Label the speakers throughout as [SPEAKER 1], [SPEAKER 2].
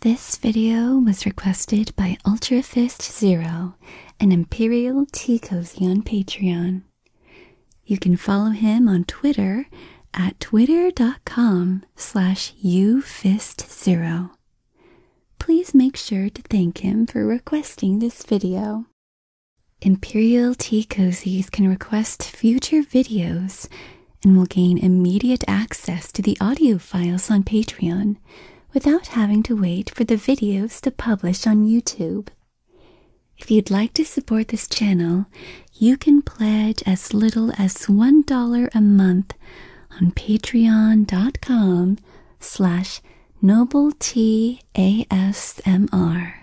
[SPEAKER 1] This video was requested by Ultrafist Zero, an Imperial Tea Cozy on Patreon. You can follow him on Twitter at twitter.com slash ufist0. Please make sure to thank him for requesting this video. Imperial Tea Cozies can request future videos and will gain immediate access to the audio files on Patreon without having to wait for the videos to publish on YouTube. If you'd like to support this channel, you can pledge as little as $1 a month on patreon.com slash nobletasmr.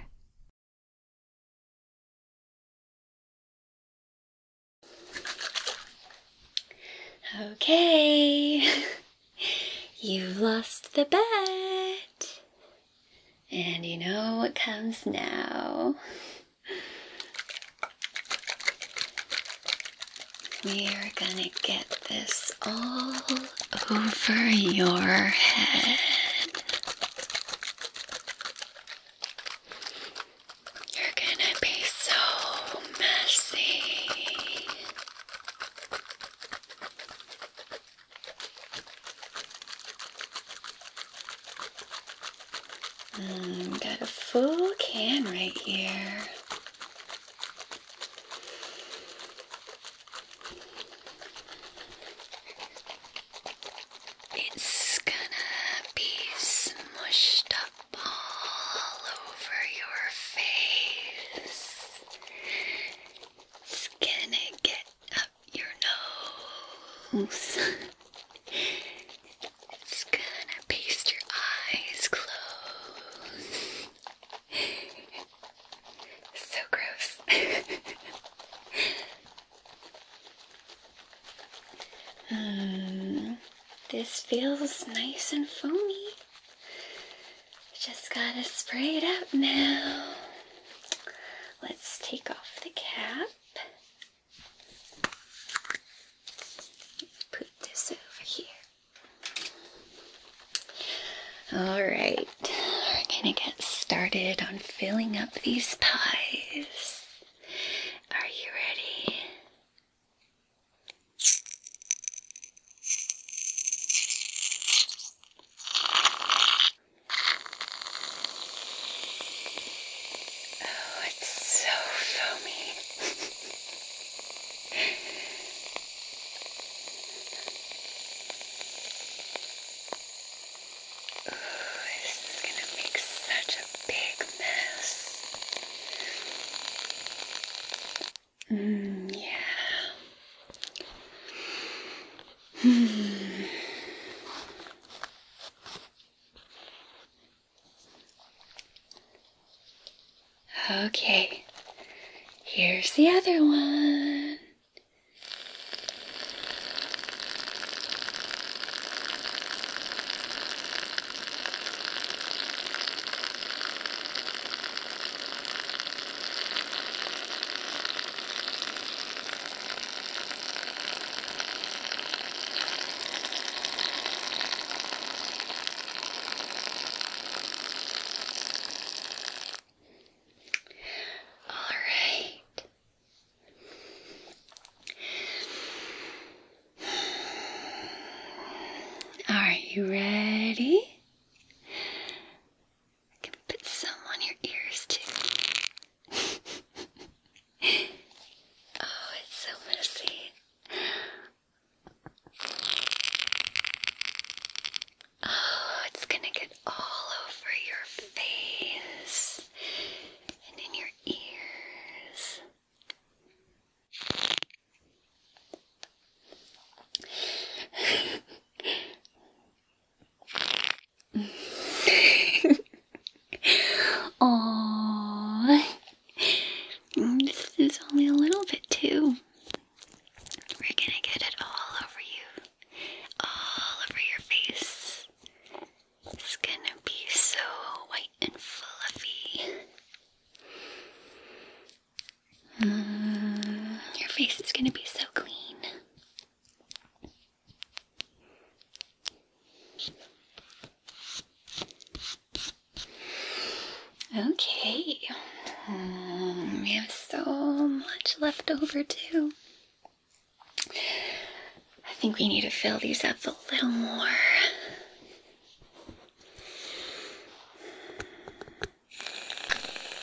[SPEAKER 1] Okay, you've lost the bet. And you know what comes now. We're gonna get this all over your head. You're gonna be so messy. Um, got a full can right here. It's gonna be smushed up all over your face. It's gonna get your nose. it's gonna paste your eyes closed. so gross. mm, this feels nice and foamy. Just gotta spray it up now. Let's take off the cap. Put this over here. All right, we're gonna get started on filling up these pies. Are you ready? Oh, it's so foamy. Ooh, this is going to make such a big mess. Mm, yeah. Hmm. Okay, here's the other one. All right. Are you ready? I can put some on your ears too oh, it's so messy. Oh, it's gonna get all over your face and in your ears. Oh, This is only a little bit too. We're gonna get it all over you. All over your face. It's gonna be so white and fluffy. Mm, your face is gonna be so clean. Okay, um, we have so much left over too. I think we need to fill these up a little more. Oh,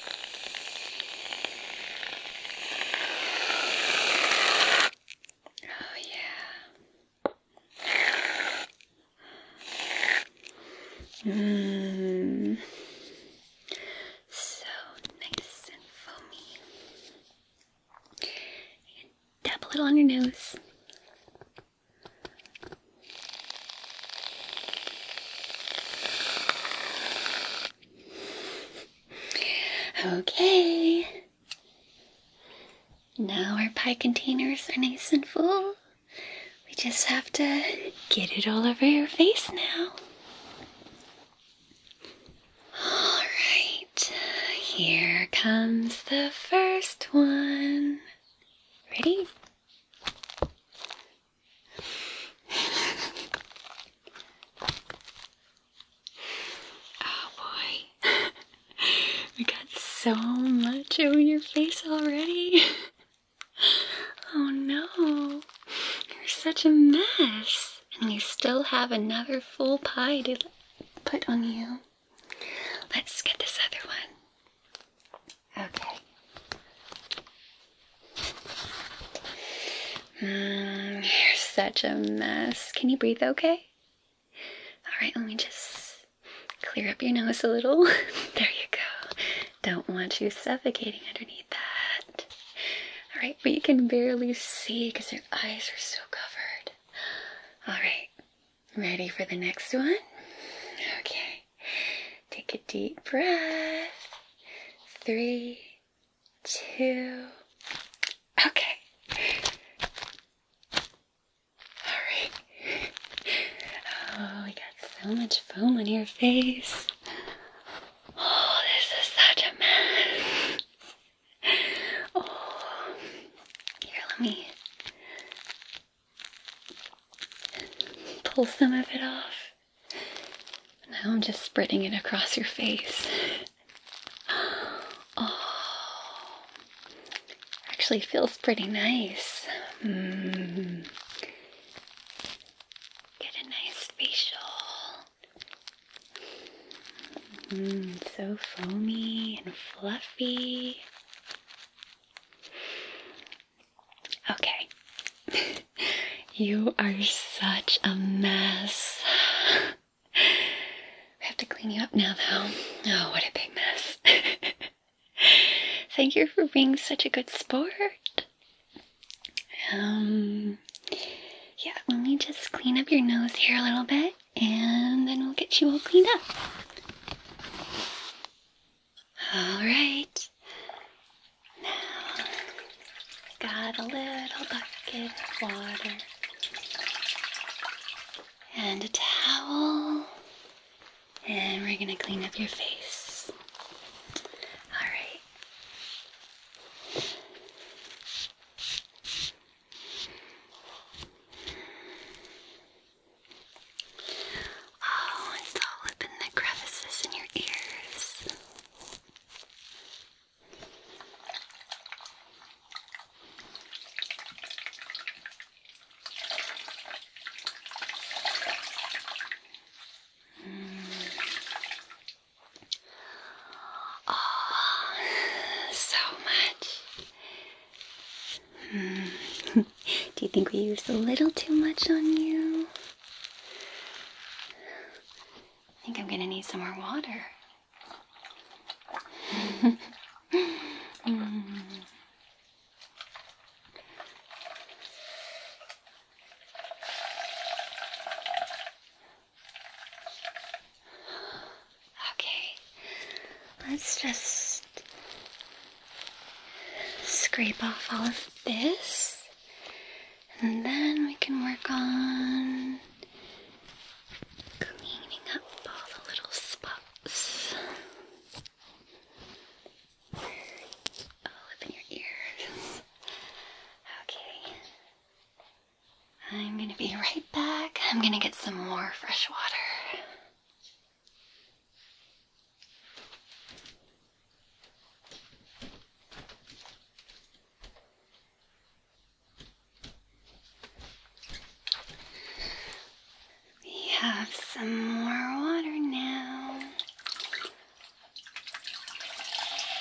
[SPEAKER 1] yeah. Mm. So nice foamy. dab a little on your nose. Okay. Now our pie containers are nice and full. We just have to get it all over your face now. All right. Here comes the first one. Ready? oh boy. we got so much on your face already. oh no. You're such a mess. And we still have another full pie to put on you. Let's get this other one. Okay. Mm, you're such a mess. Can you breathe okay? Alright, let me just clear up your nose a little. there you go. Don't want you suffocating underneath that. Alright, but you can barely see because your eyes are so covered. Alright, ready for the next one? Okay, take a deep breath. Three, two. Okay. Alright. Oh, we got so much foam on your face. Oh, this is such a mess. Oh, here, let me pull some of it off. Now I'm just spreading it across your face. Oh, actually feels pretty nice. Mm. Get a nice facial. Mm, so foamy and fluffy. Okay. you are such a mess. We have to clean you up now, though. Oh, what a big mess. Thank you for being such a good sport. Um, yeah, let me just clean up your nose here a little bit and then we'll get you all cleaned up. All right. Now, got a little bucket of water and a towel, and we're gonna clean up your face. All right. Oh, it's all up in the crevices in your ears. Mm. Oh, so much. Hmm. Do you think we used a little too much on you? I think I'm gonna need some more water. Okay, let's just scrape off all of this. And then we can work on cleaning up all the little spots all up in your ears. Okay. I'm gonna be right back. I'm gonna get some more fresh water. We have some more water now.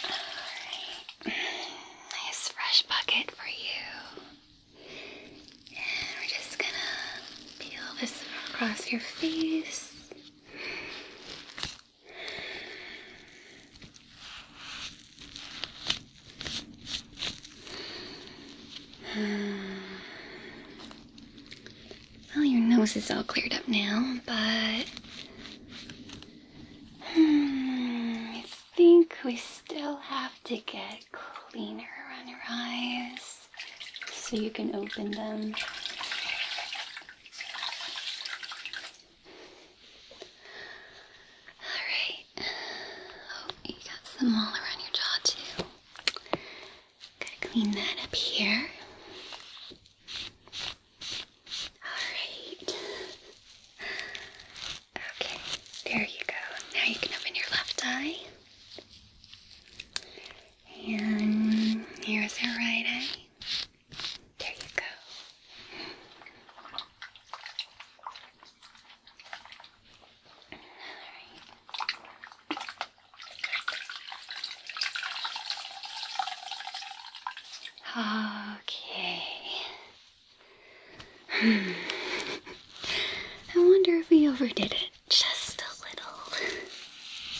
[SPEAKER 1] Alright. Nice fresh bucket for you. And we're just gonna peel this across your face. Well, your nose is all cleared up now, but hmm, I think we still have to get cleaner around your eyes so you can open them. Alright. Oh, you got some all around your jaw too. Gotta clean that up here. Alright. Okay, there you go. Now you can open your left eye. And here's her right eye. There you go. Okay. I wonder if we overdid it just a little.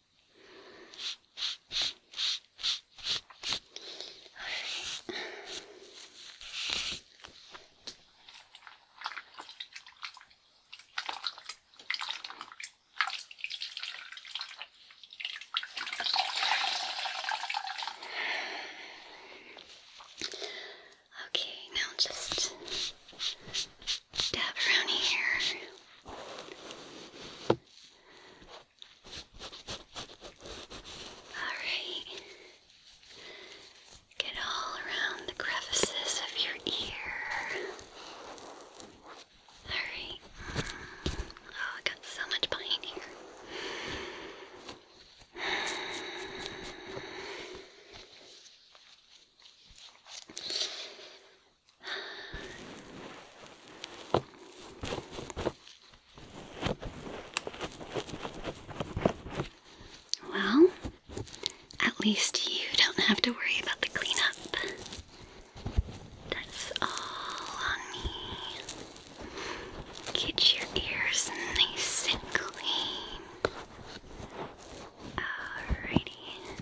[SPEAKER 1] All right. Okay, now just dab around here. Alright. Get all around the crevices of your ear. Alright. Oh, I got so much behind here. Well, at least you don't have to worry about the cleanup. That's all Get your ears nice and clean. Alrighty.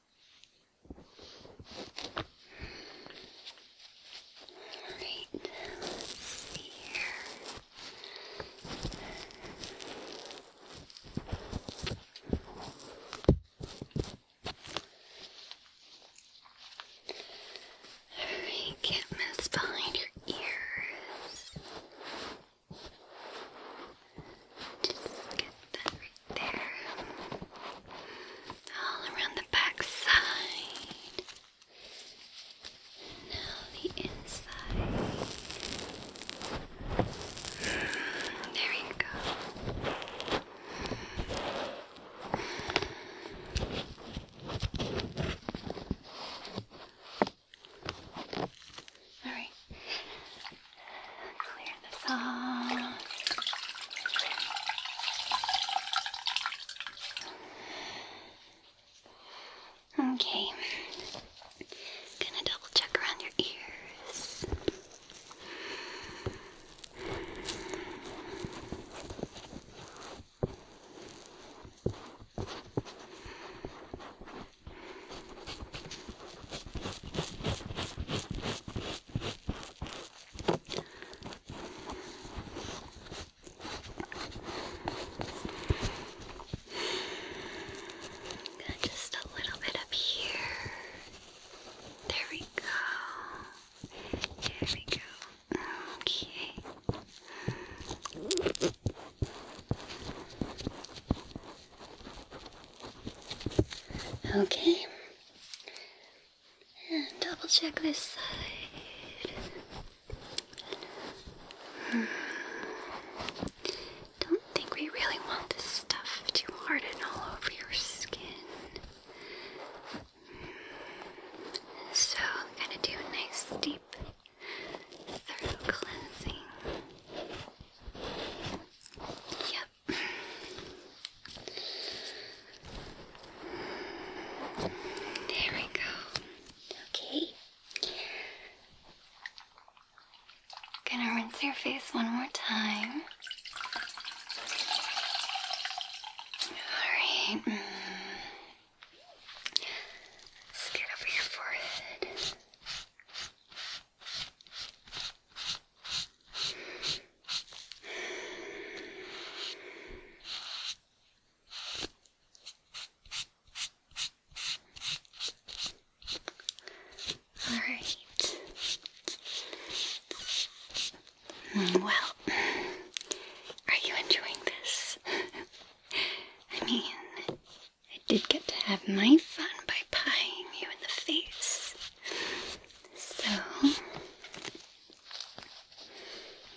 [SPEAKER 1] Alright, let's see here. Alright, can't behind your ears. Just get that right there. All around the back Now the inside. There you go. Alright. Clear this off. Okay. Gonna double check around your ears. Good, just a little bit up here. There we go. There we go. Okay. Okay. And double check this side. Hmm. Don't think we really want this stuff to harden all over your skin. So gonna do a nice deep thorough cleansing. Yep. There we go. Okay. Gonna rinse your face one more time. All right. Let's mm. get over your forehead. All right. Well, are you enjoying this? I mean, I did get to have my fun by pieing you in the face. So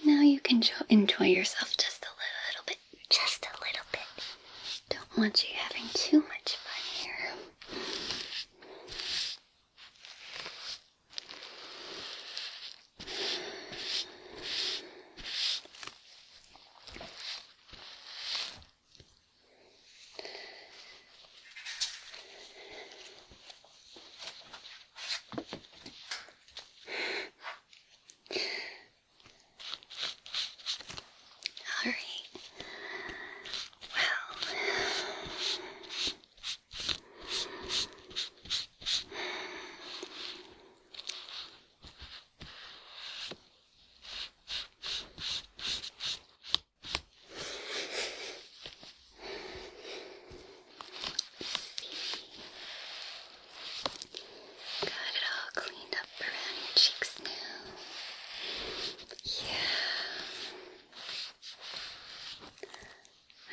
[SPEAKER 1] now you can enjoy yourself just a little bit. Just a little bit. Don't want you having too much fun here. All right. Well, Got it all cleaned up around your cheeks now. Yeah.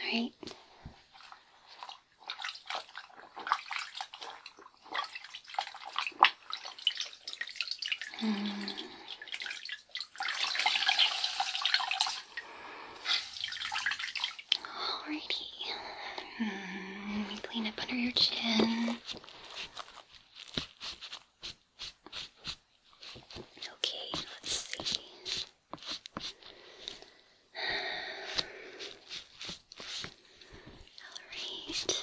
[SPEAKER 1] Alright. Mm. Alrighty. Mm. Let me clean up under your chin. Okay, let's see. Alright. All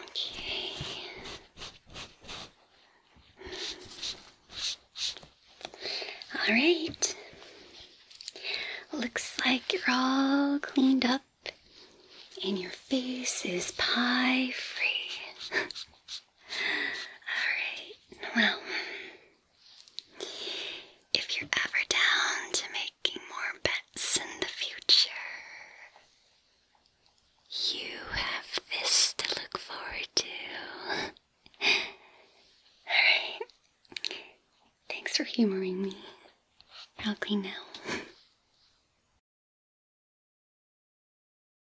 [SPEAKER 1] Okay. All right. Looks like you're all cleaned up and your face is pie free. all right. Well, if you're ever down to making more bets in the future, you have this to look forward to. Alright. Thanks for humoring me. I'll clean now.